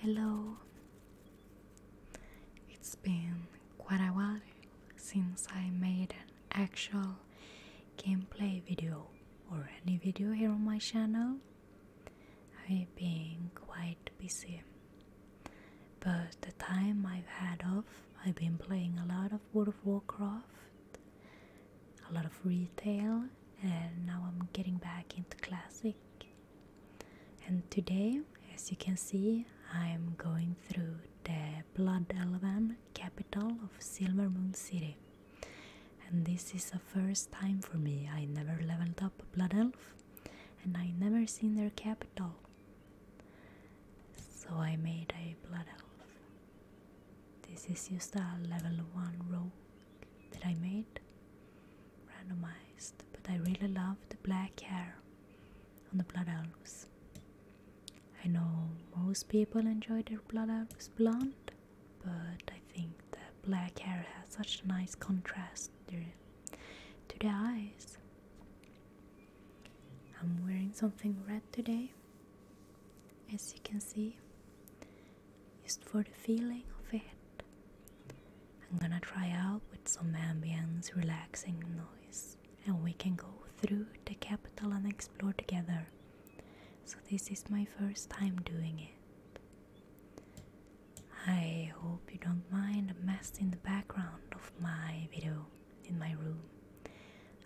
Hello. It's been quite a while since I made an actual gameplay video or any video here on my channel. I've been quite busy. But the time I've had off, I've been playing a lot of World of Warcraft, a lot of retail, and now I'm getting back into classic and today, as you can see, I am going through the Blood Elf capital of Silvermoon City. And this is the first time for me. I never leveled up Blood Elf and I never seen their capital. So I made a Blood Elf. This is just a level 1 rogue that I made randomized, but I really love the black hair on the blood elves. I know most people enjoy their blood elves blonde, but I think the black hair has such a nice contrast to the eyes. I'm wearing something red today, as you can see just for the feeling of it. I'm gonna try out with some ambience, relaxing noise, and we can go through the capital and explore together. So, this is my first time doing it. I hope you don't mind the mess in the background of my video in my room.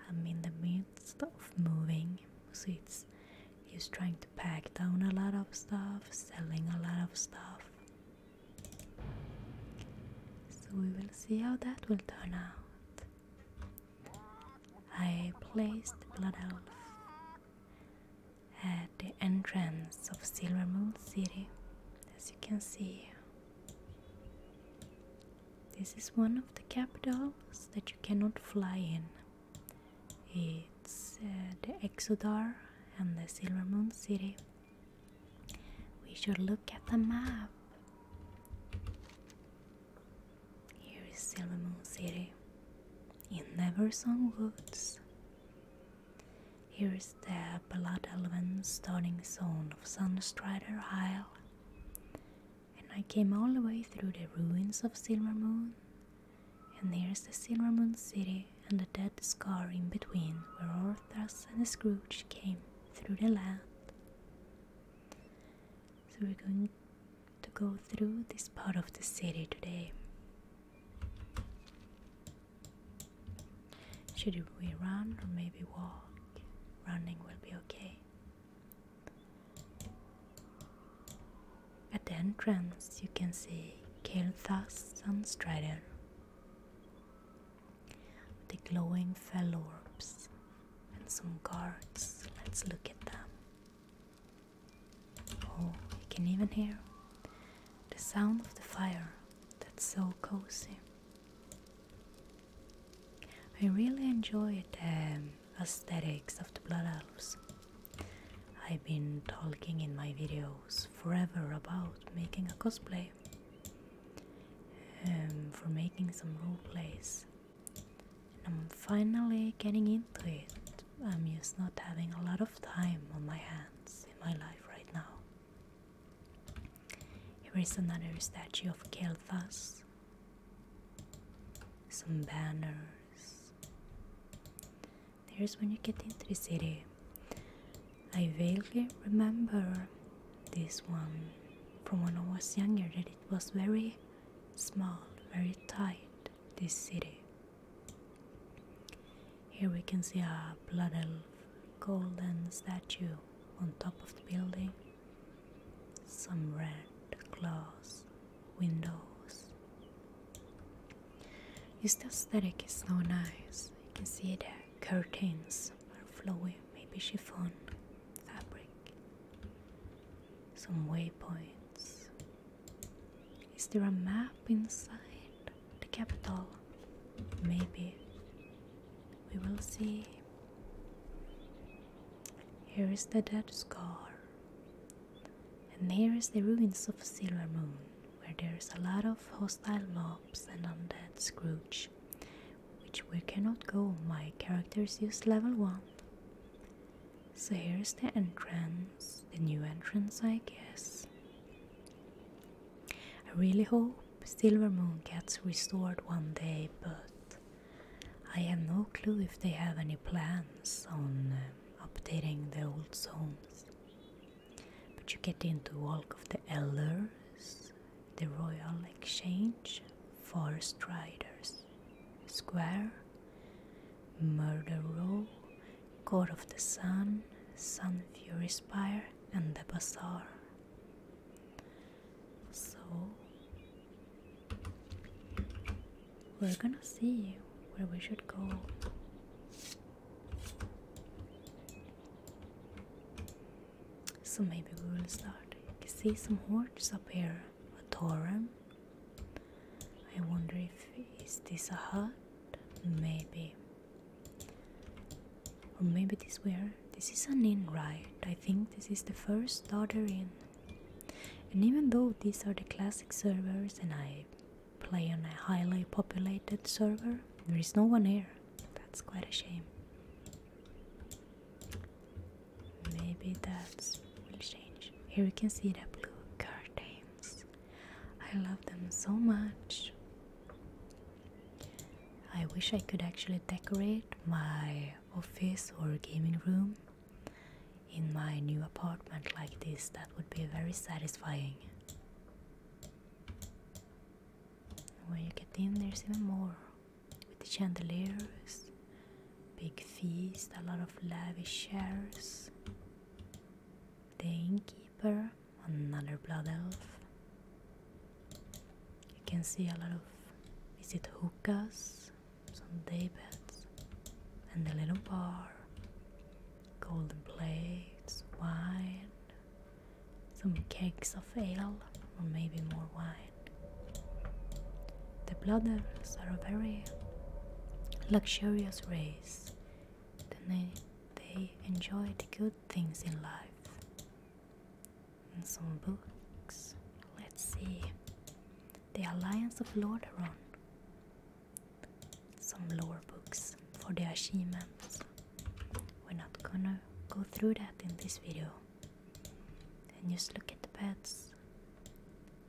I'm in the midst of moving, so it's just trying to it packed down a lot of stuff, selling a lot of stuff. So we will see how that will turn out. I placed Blood Elf at the entrance of Silvermoon City, as you can see. This is one of the capitals that you cannot fly in. It's uh, the Exodar and the Silver Moon City. We should look at the map. Here is Silver Moon City in Neversong Woods. Here is the Blood Elven starting zone of Sunstrider Isle. And I came all the way through the ruins of Silver Moon and there's the Silver Moon City and the dead scar in between where Orthas and Scrooge came through the land. So we're going to go through this part of the city today. Should we run or maybe walk? Running will be okay. At the entrance, you can see Kael'thas and Strider, the glowing fell orbs, and some guards. Let's look at them. Oh, you can even hear the sound of the fire. That's so cozy. I really enjoyed the um, aesthetics of the Blood Elves. I've been talking in my videos forever about making a cosplay um, for making some role plays. And I'm finally getting into it. I'm just not having a lot of time on my hands in my life right now. Here is another statue of Kelthas, some banners, there's when you get into the city. I vaguely remember this one from when I was younger that it was very small, very tight, this city. Here we can see a blood elf golden statue on top of the building, some red glass windows. Is the static is so nice. You can see the curtains are flowing. maybe chiffon fabric. Some waypoints. Is there a map inside the capital? Maybe. We will see. Here is the dead scar. And here is the ruins of Silver Moon, where there's a lot of hostile mobs and undead Scrooge, which we cannot go, my characters use level 1. So here's the entrance, the new entrance I guess. I really hope Silver Moon gets restored one day, but I have no clue if they have any plans on um, updating the old zones. But you get into Walk of the Elders, the Royal Exchange, Forest Riders Square, Murder Row, Court of the Sun, Sun Fury Spire, and the Bazaar. So we're gonna see where we should go. So maybe we will start. I see some hordes up here. A torrent. I wonder if is this a hut? Maybe. Or maybe this where? This is an inn, right? I think this is the first starter inn. And even though these are the classic servers and I play on a highly populated server. There is no one here. That's quite a shame. Maybe that's will change. Here you can see the blue curtains. I love them so much. I wish I could actually decorate my office or gaming room in my new apartment like this, that would be very satisfying. When you get in, there's even more with the chandeliers, big feast, a lot of lavish chairs. The innkeeper, another blood elf. You can see a lot of is it hookahs, some day beds, and a little bar golden plates, wine, some kegs of ale, or maybe more wine. The Blooders are a very luxurious race, they, they enjoy good things in life. And some books, let's see. The Alliance of Lordaeron some lore books for the achievements. We're not gonna go through that in this video. And just look at the beds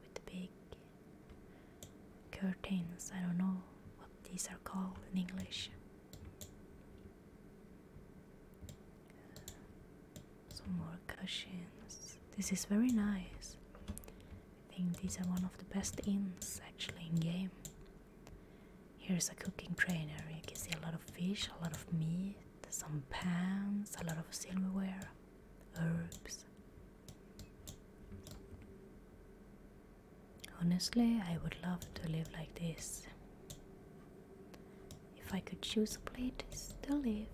with the big curtains. I don't know what these are called in English. Some more cushions. This is very nice. I think these are one of the best inns actually in game. Here's a cooking trainer. You can see a lot of fish, a lot of meat, some pans, a lot of silverware, herbs. Honestly, I would love to live like this. If I could choose a place to live,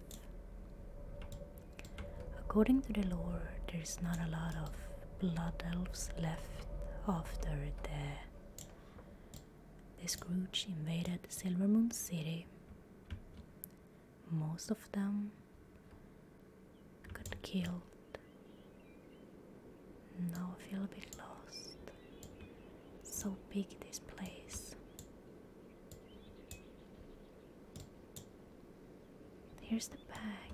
According to the lore, there's not a lot of blood elves left after the, the Scrooge invaded Silvermoon City. Most of them got killed. Now I feel a bit lost. So big this place. Here's the back.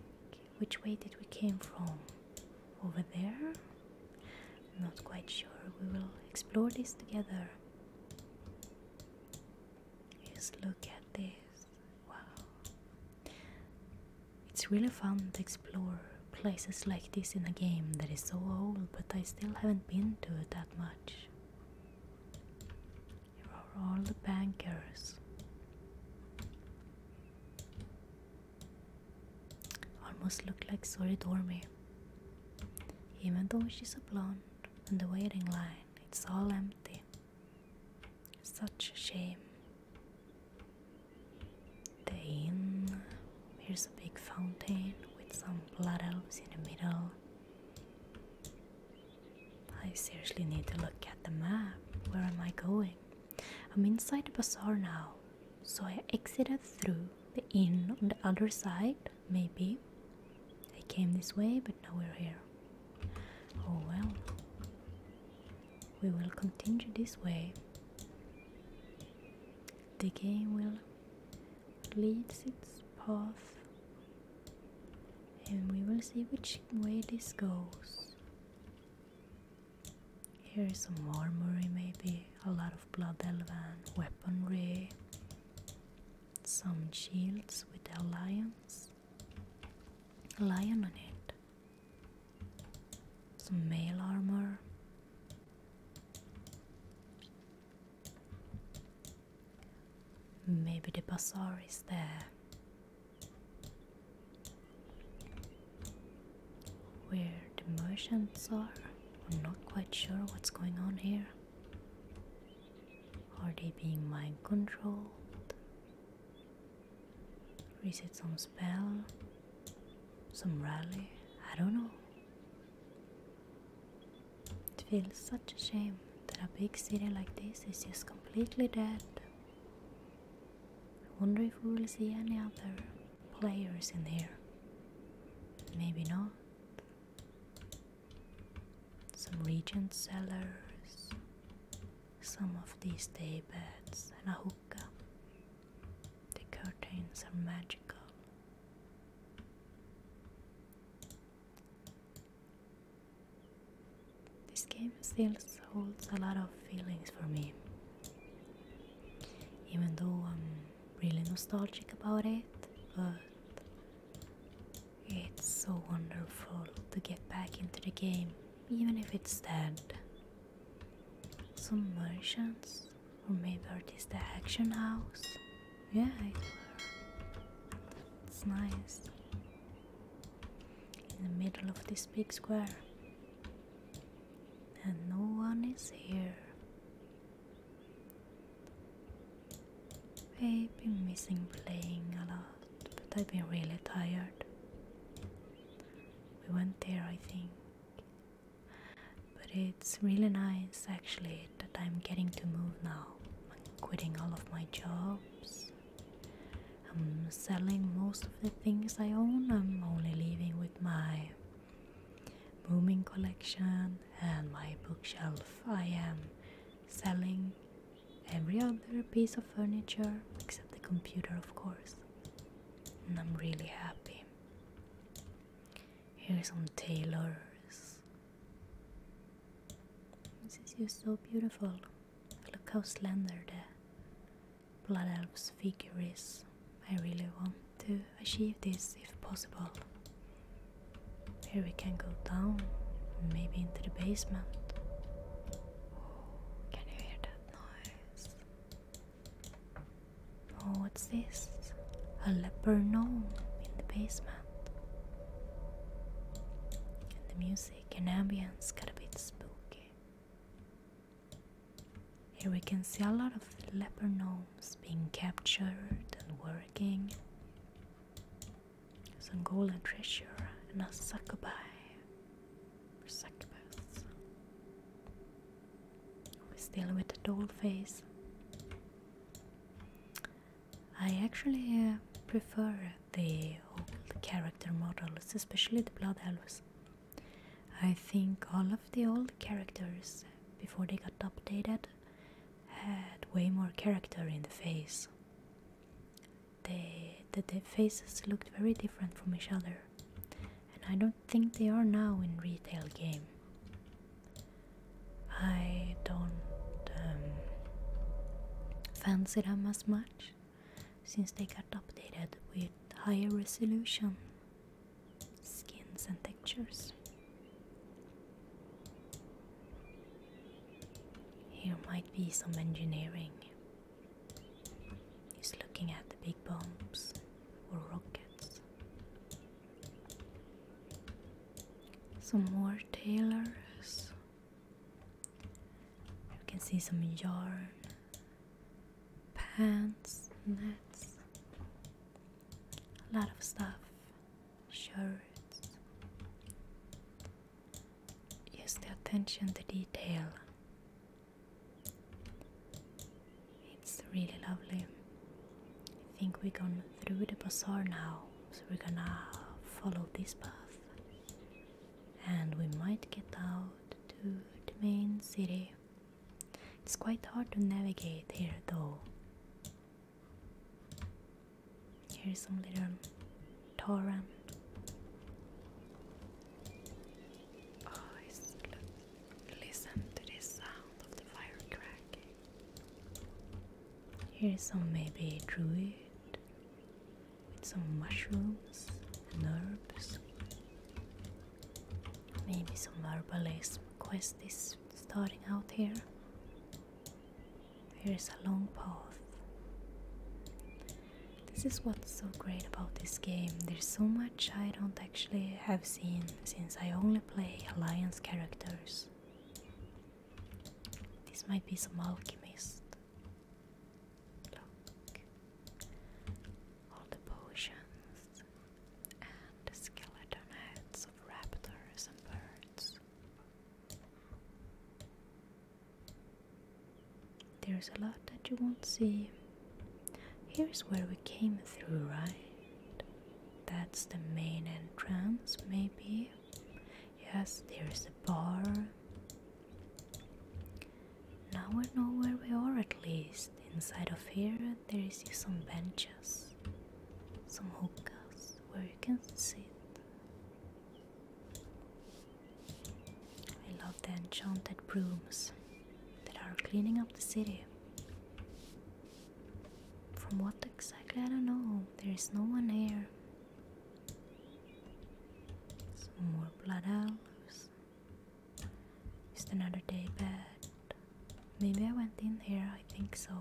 Which way did we came from? Over there? not quite sure. We will explore this together. Just look at this. Wow. It's really fun to explore places like this in a game that is so old, but I still haven't been to it that much. You are all the bankers. Almost look like Sori dormy. Even though she's a blonde in the waiting line, it's all empty. Such a shame. The inn. Here's a big fountain with some blood elves in the middle. I seriously need to look at the map. Where am I going? I'm inside the bazaar now. So I exited through the inn on the other side, maybe. I came this way, but now we're here. Oh well. We will continue this way. The game will lead its path and we will see which way this goes. Here is some armory, maybe a lot of blood elven weaponry, some shields with the alliance, lion on it, some mail armor. Maybe the bazaar is there. Where the merchants are? I'm not quite sure what's going on here. Are they being mind controlled? Reset some spell? Some rally? I don't know. It feels such a shame that a big city like this is just completely dead. I wonder if we will see any other players in here. Maybe not. Some regent cellars, some of these day beds, and a hookah. The curtains are magical. This game still holds a lot of feelings for me. Even though I'm really nostalgic about it, but it's so wonderful to get back into the game, even if it's dead. Some merchants, or maybe it is the action house. Yeah, it's nice in the middle of this big square, and no one is here. I've been missing playing a lot, but I've been really tired. We went there, I think. But it's really nice actually that I'm getting to move now. i quitting all of my jobs I'm selling most of the things I own, I'm only living with my booming collection and my bookshelf. I am selling every other piece of furniture except the computer, of course, and I'm really happy. Here's some tailors. This is just so beautiful. Look how slender the Blood Elf's figure is. I really want to achieve this if possible. Here we can go down, maybe into the basement. can you hear that noise? Oh, what's this? A leper gnome in the basement. And the music. The and got a bit spooky. Here we can see a lot of leper gnomes being captured and working. Some and treasure and a succubi. Or succubus. still with a doll face. I actually uh, prefer the old character models, especially the Blood Elves. I think all of the old characters, before they got updated, had way more character in the face. They, the, faces looked very different from each other, and I don't think they are now in retail game. I don't um, fancy them as much since they got updated with higher resolution skins and textures. Here might be some engineering. He's looking at the big bombs or rockets. Some more tailors you can see some yarn, pants, nets, a lot of stuff, shirts. Yes, the attention the detail. It's really lovely. I think we're going through the bazaar now, so we're gonna follow this path and we might get out to the main city. It's quite hard to navigate here though. Here's some little torrent. Oh, listen to this sound of the fire cracking. Here's some maybe druid with some mushrooms and herbs. Maybe some herbalism quest is starting out here. Here is a long path. This is what's so great about this game. There's so much I don't actually have seen since I only play Alliance characters. This might be some alchemist Look. All the potions and the skeleton heads of raptors and birds. There's a lot that you won't see. Here's where we came through, right? That's the main entrance, maybe. Yes, there's a bar, now we know where we are at least. Inside of here there is some benches, some hookahs where you can sit. I love the enchanted brooms that are cleaning up the city. From what exactly I don't know, there is no one here. Some more blood elves. Just another day bed. Maybe I went in here, I think so.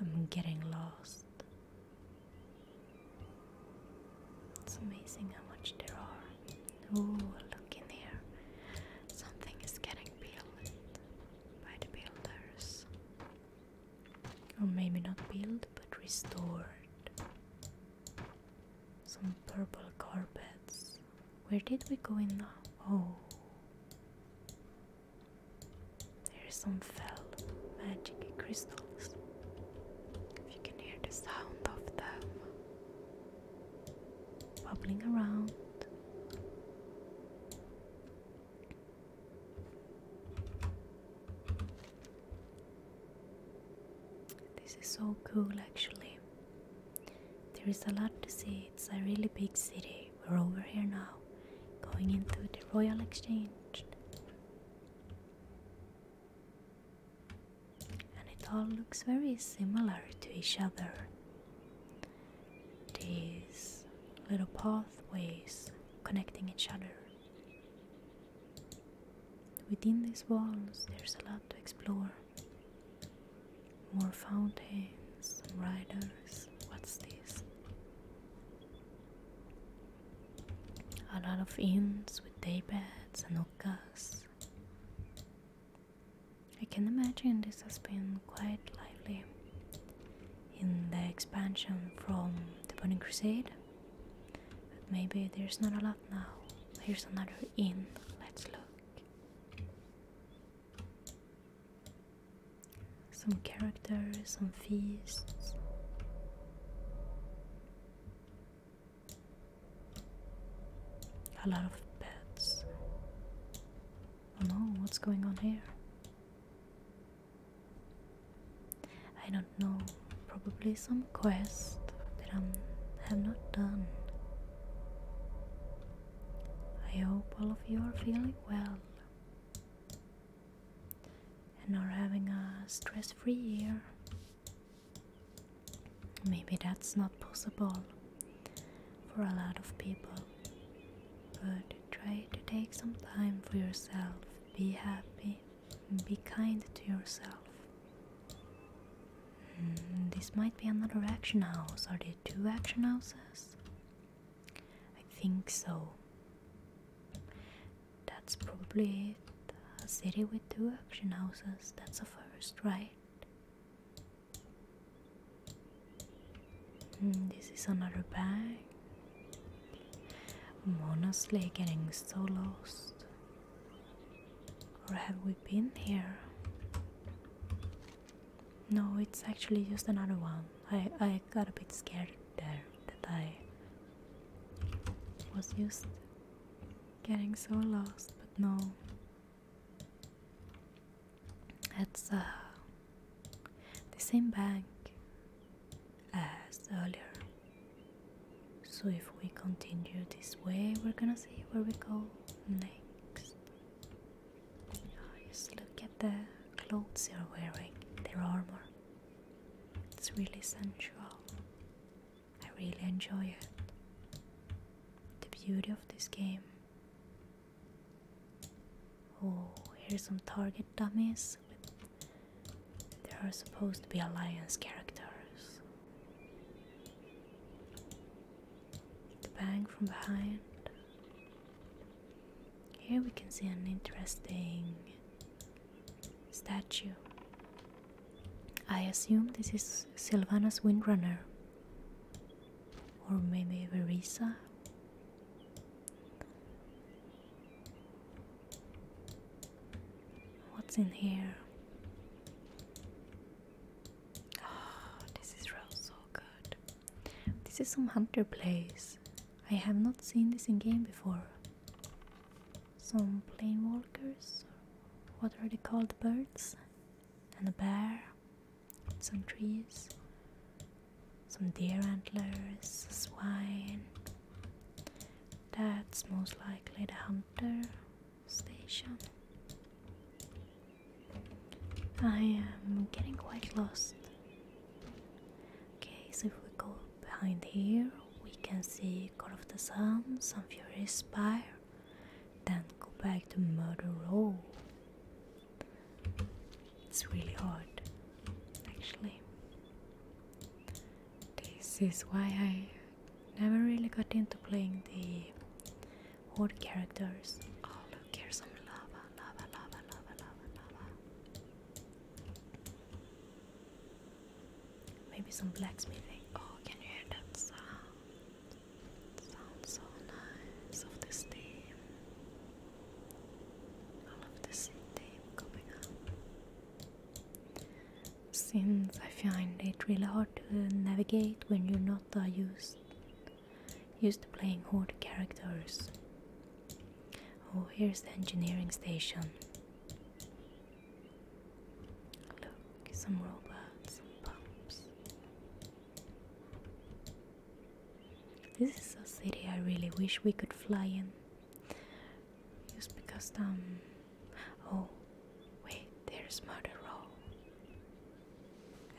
I'm getting lost. It's amazing how much there are. Ooh, look in here. Something is getting built by the builders or maybe not built but restored. Some purple carpets. Where did we go in now? Oh, there's some fell magic crystals. If you can hear the sound of them bubbling around. This is so cool actually. There is a lot to see. It's a really big city. We're over here now, going into the Royal Exchange. And it all looks very similar to each other. These little pathways connecting each other. Within these walls, there's a lot to explore. More fountains, riders. What's this? A lot of inns with daybeds and hookahs. I can imagine this has been quite lively in the expansion from the Burning Crusade. But maybe there's not a lot now. Here's another inn. Let's look. Some characters, some feasts. A lot of beds. Oh no, what's going on here? I don't know, probably some quest that I have not done. I hope all of you are feeling well and are having a stress free year. Maybe that's not possible for a lot of people, but try to take some time for yourself, be happy. Be kind to yourself. Mm, this might be another action house. Are there two action houses? I think so. That's probably it. A city with two action houses. That's a first, right? Mm, this is another bank. Honestly, getting so lost. Or have we been here? No, it's actually just another one. I, I got a bit scared there that I was just getting so lost, but no. it's uh, the same bank as earlier. So if we continue this way, we're gonna see where we go next. Just look at the clothes you are wearing, their armor. It's really sensual. I really enjoy it. The beauty of this game. Oh, here's some target dummies. There are supposed to be alliance characters. The bang from behind. Here we can see an interesting statue. I assume this is Sylvanas Windrunner, or maybe Verisa. What's in here? Ah, this is real so good. This is some hunter place. I have not seen this in game before. Some plain walkers, what are they called? Birds, and a bear, some trees, some deer antlers, swine, that's most likely the hunter station. I am getting quite lost. Okay, so if we go behind here, we can see God of the Sun, Sun Fury Spire, then go back to Murder Row. It's really hard, actually. This is why I never really got into playing the odd characters. Oh, look, here's some lava, lava, lava, lava, lava, lava. Maybe some blacksmithing. Oh, can you hear that sound? sounds so nice of the steam. All of the steam coming up since I find it really hard to navigate when you're not used used to playing horde characters. Oh, here's the engineering station. Look, some robots, some pumps. This is a city I really wish we could fly in. Just because, um. Oh, wait, there's Murder Row.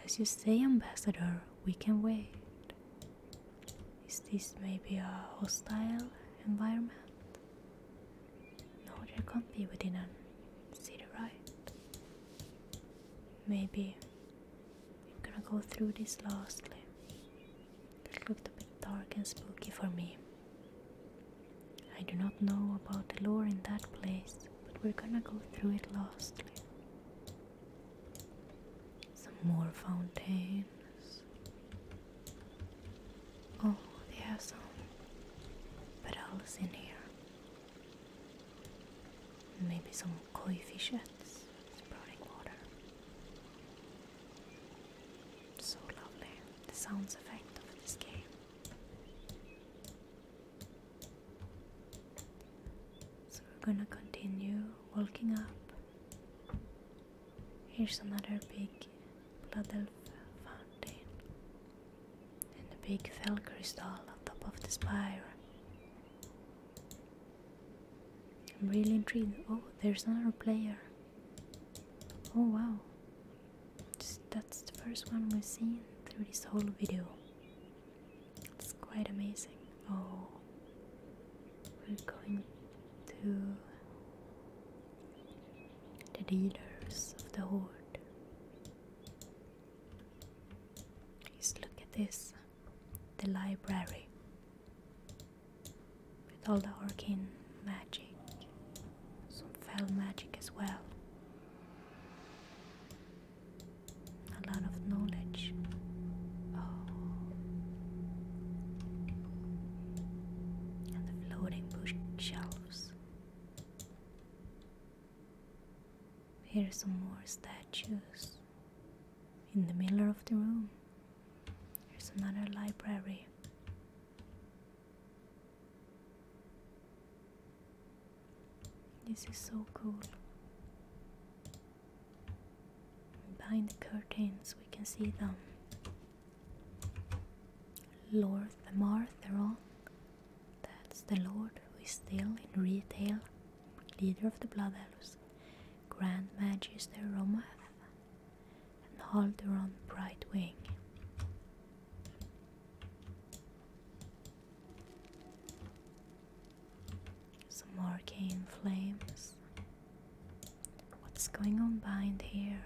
As you say, Ambassador, we can wait. Is this maybe a hostile environment? No, there can't be within a city, right? Maybe I'm gonna go through this last lastly. It looked a bit dark and spooky for me. I do not know about the lore in that place, but we're gonna go through it lastly. Some more fountains. Oh, they have some petals in here. Maybe some koi fishettes sprouting water. So lovely, the sounds effect of this game. So we're gonna continue walking up. Here's another big blood elf fountain and a big fell crystal on top of the spire. I'm really intrigued. Oh, there's another player. Oh wow. that's the first one we've seen through this whole video. It's quite amazing. Oh. We're going to the leaders of the horde. Please look at this. The library with all the arcane magic, some fell magic as well. A lot of knowledge. Oh. And the floating bookshelves. Here are some more statues in the middle of the room. Here's another library. This is so cool. Behind the curtains, we can see them. Lord the Martheron, that's the Lord who is still in retail, leader of the Blood Elves, Grand Magister Romath, and hold bright wing. Some arcane flames. What's going on behind here?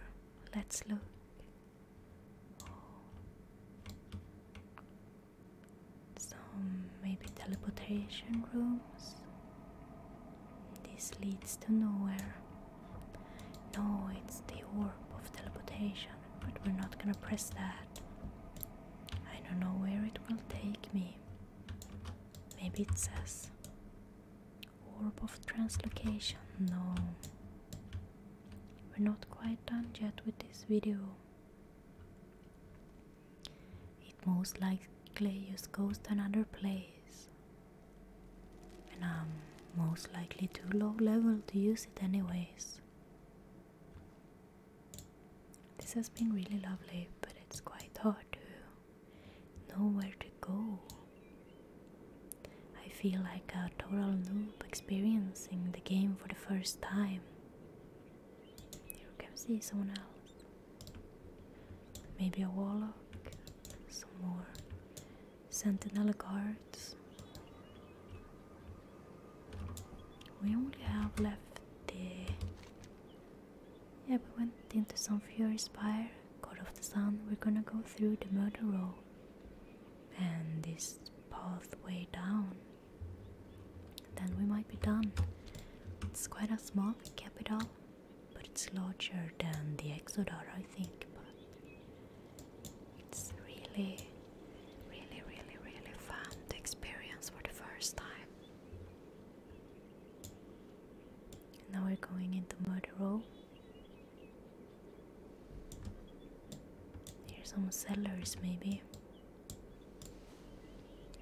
Let's look. Some maybe teleportation rooms. This leads to nowhere. No, it's the warp of teleportation, but we're not gonna press that. I don't know where it will take me. Maybe it says Orb of Translocation. No. We're not quite done yet with this video. It most likely just goes to another place and I'm um, most likely too low level to use it, anyways. This has been really lovely, but it's quite hard to know where to go. I feel like a total noob experiencing the game for the first time. You can see someone else. Maybe a wall some more sentinel guards. We only have left the. Yeah, we went into some furious spire, god of the sun. We're gonna go through the murder row and this pathway down. Then we might be done. It's quite a small capital, but it's larger than the Exodar, I think. But it's really, really, really, really fun experience for the first time. Now we're going into murder row. Here's some cellars, maybe.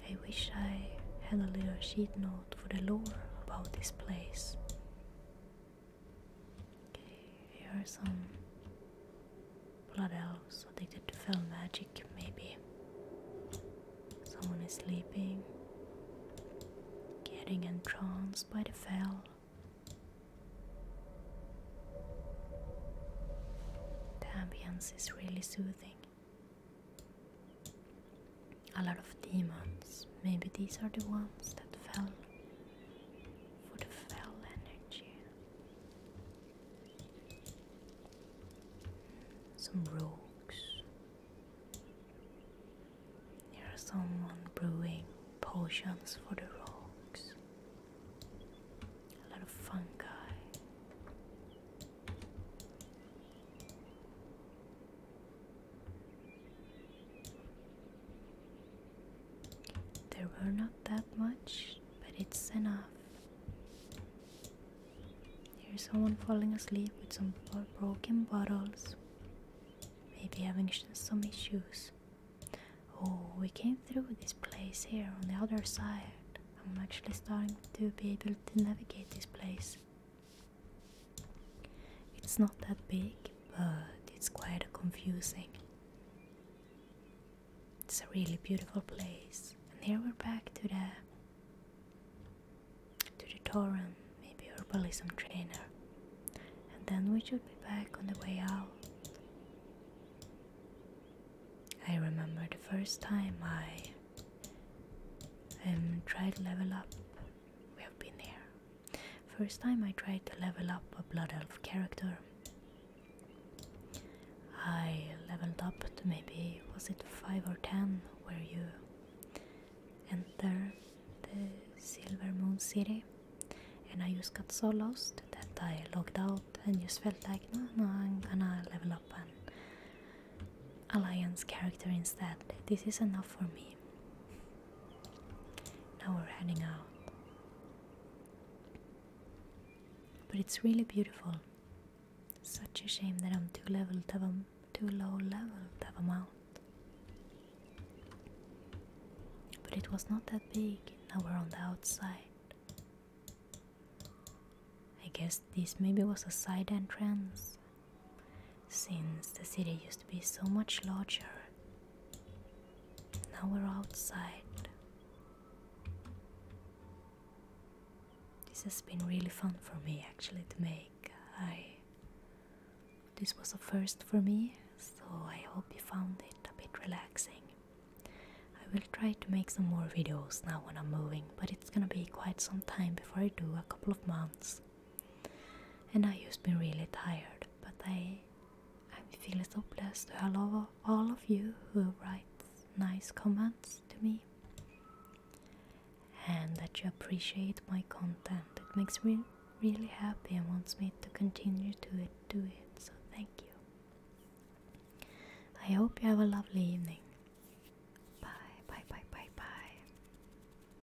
I wish I had a little sheet note for the lore about this place. Okay, here are some blood elves addicted to fell magic, maybe. Someone is sleeping, getting entranced by the fell. The ambience is really soothing a lot of demons. Maybe these are the ones that fell for the fell energy. Some rogues. There's someone brewing potions for the rogues. A lot of fungi. There were not that much, but it's enough. Here's someone falling asleep with some broken bottles. Maybe having some issues. Oh, we came through this place here on the other side. I'm actually starting to be able to navigate this place. It's not that big, but it's quite confusing. It's a really beautiful place. And here we're back to the to the Torum, maybe herbalism trainer. And then we should be back on the way out. I remember the first time I um, tried level up. We have been there. First time I tried to level up a Blood Elf character. I leveled up to maybe, was it 5 or 10, where you enter the Silver Moon City. And I just got so lost that I logged out and just felt like, no, no, I'm gonna level up an Alliance character instead. This is enough for me. Now we're heading out. But it's really beautiful. Such a shame that I'm too low level to have a mount. But it was not that big. Now we're on the outside. I guess this maybe was a side entrance since the city used to be so much larger. Now we're outside. This has been really fun for me actually to make. I this was a first for me, so I hope you found it a bit relaxing. I will try to make some more videos now when I'm moving, but it's gonna be quite some time before I do, a couple of months. And I used to be really tired, but I, I feel so blessed to have all of you who write nice comments to me and that you appreciate my content. It makes me really happy and wants me to continue to do it, so thank you. I hope you have a lovely evening. Bye, bye, bye, bye, bye.